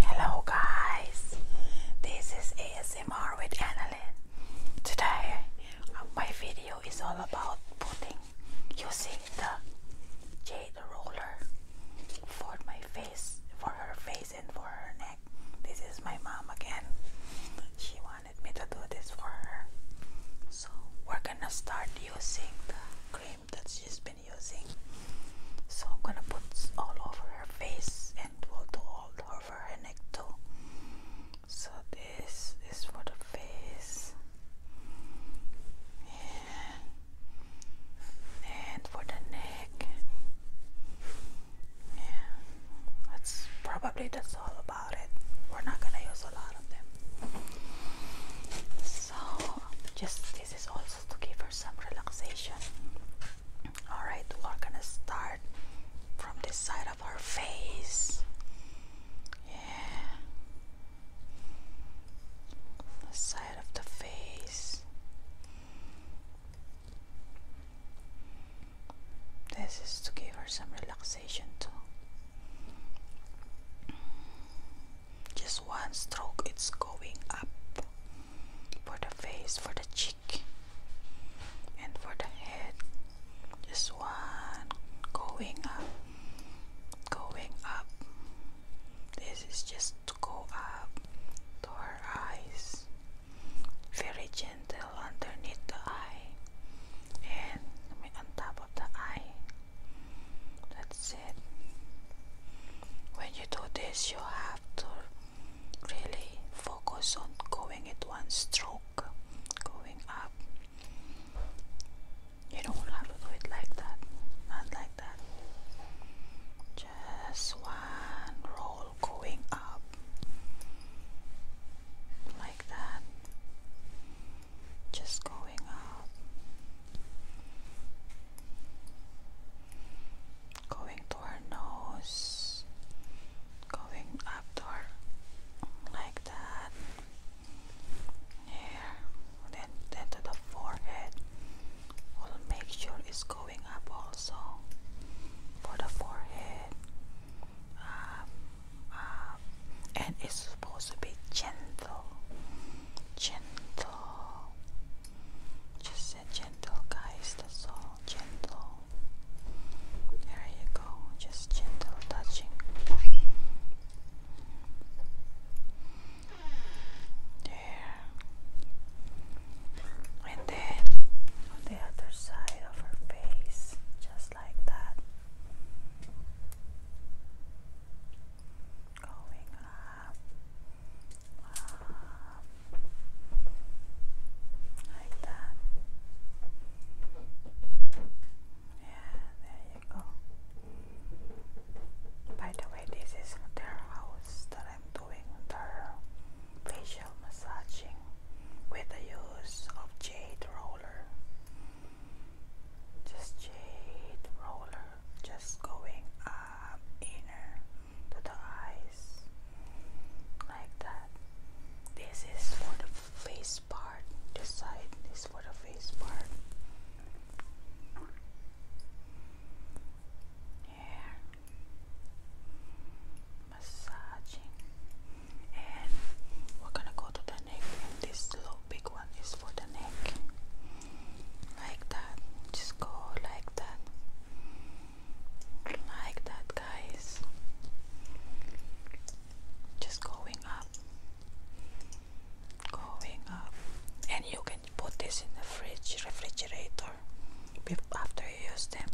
Hello guys, this is ASMR with Annalyn. Today uh, my video is all about putting using the jade roller for my face, for her face and for her neck. This is my mom again. She wanted me to do this for her. So we're gonna start using the cream that she's been using. So I'm gonna put all over her face and we'll do all over her neck too. So this is for the face and, and for the neck. Yeah, that's probably that's all about it. We're not gonna use a lot of them so just this is also to give her some relaxation all right we're gonna start from this side of her face yeah the side of the face this is to give her some relaxation too just one stroke it's going up for the face for the cheek and for the head just one going up going up this is just to go up to our eyes very gentle underneath the eye and on top of the eye. That's it. When you do this, you have to really focus on going in one stroke, going up. You don't do it like that, not like that. Just one roll going up, like that just going up, going to our nose, going up to like that, here, then, then to the forehead. We'll make sure it's going up also for the forehead. Um, uh, and it's supposed to be gentle, gentle. Just a gentle, guy. That's all. Gentle. There you go. Just gentle touching. There. And then on the other side of her face, just just like that. Going up, up, like that. Yeah, there you go. By the way, this is their house that I'm doing their facial massaging with the use of jade roll. Just jade roller. Just going up inner to the eyes. Like that. This is for the face part. This side is for the face part. Yeah massaging and we're gonna go to the neck and this little big one is for the neck like that just go like that like that guys just going up going up and you can put this in the fridge refrigerator after you use them,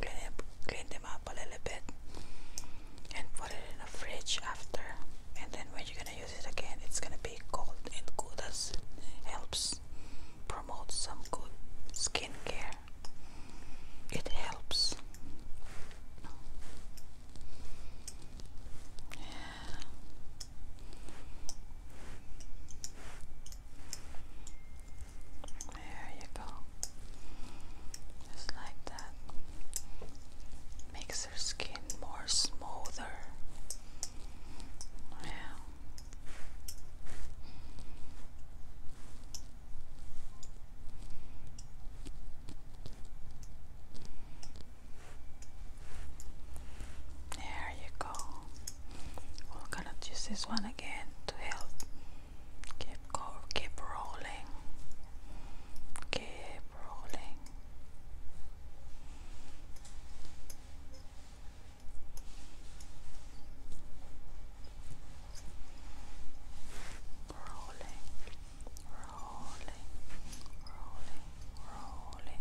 clean, it, clean them up a little bit and put it in the fridge after. And then when you're gonna use it again, it's gonna be cold and good as helps promote some good skincare. It helps. Yeah. There you go. Just like that. Makes your skin more smoother. There you go we're gonna use this one again to help keep go keep rolling keep rolling rolling rolling rolling rolling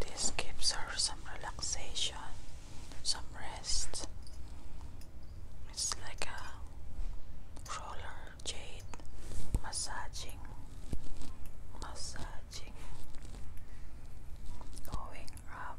this gives her some relaxation, some rest. It's like a roller jade massaging, massaging, going up.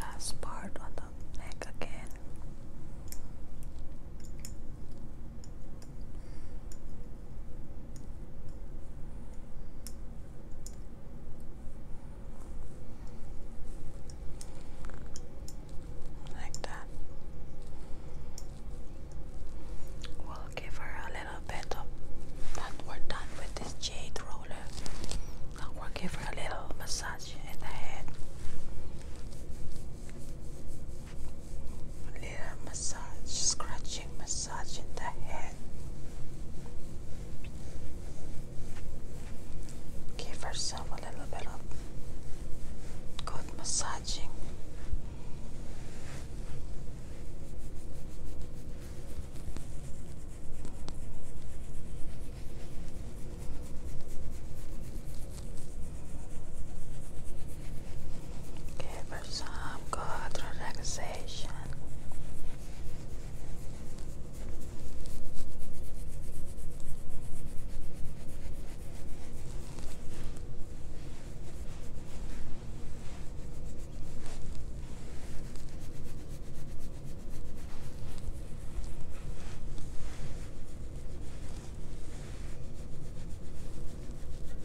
Last part on the neck again. Like that. We'll give her a little bit of but we're done with this jade roller. Now we'll give her a little massage in the head massage, scratching massage in the head. Give herself a little bit of good massaging. Give her some good relaxation.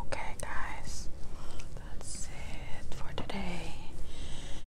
Okay, guys, that's it for today.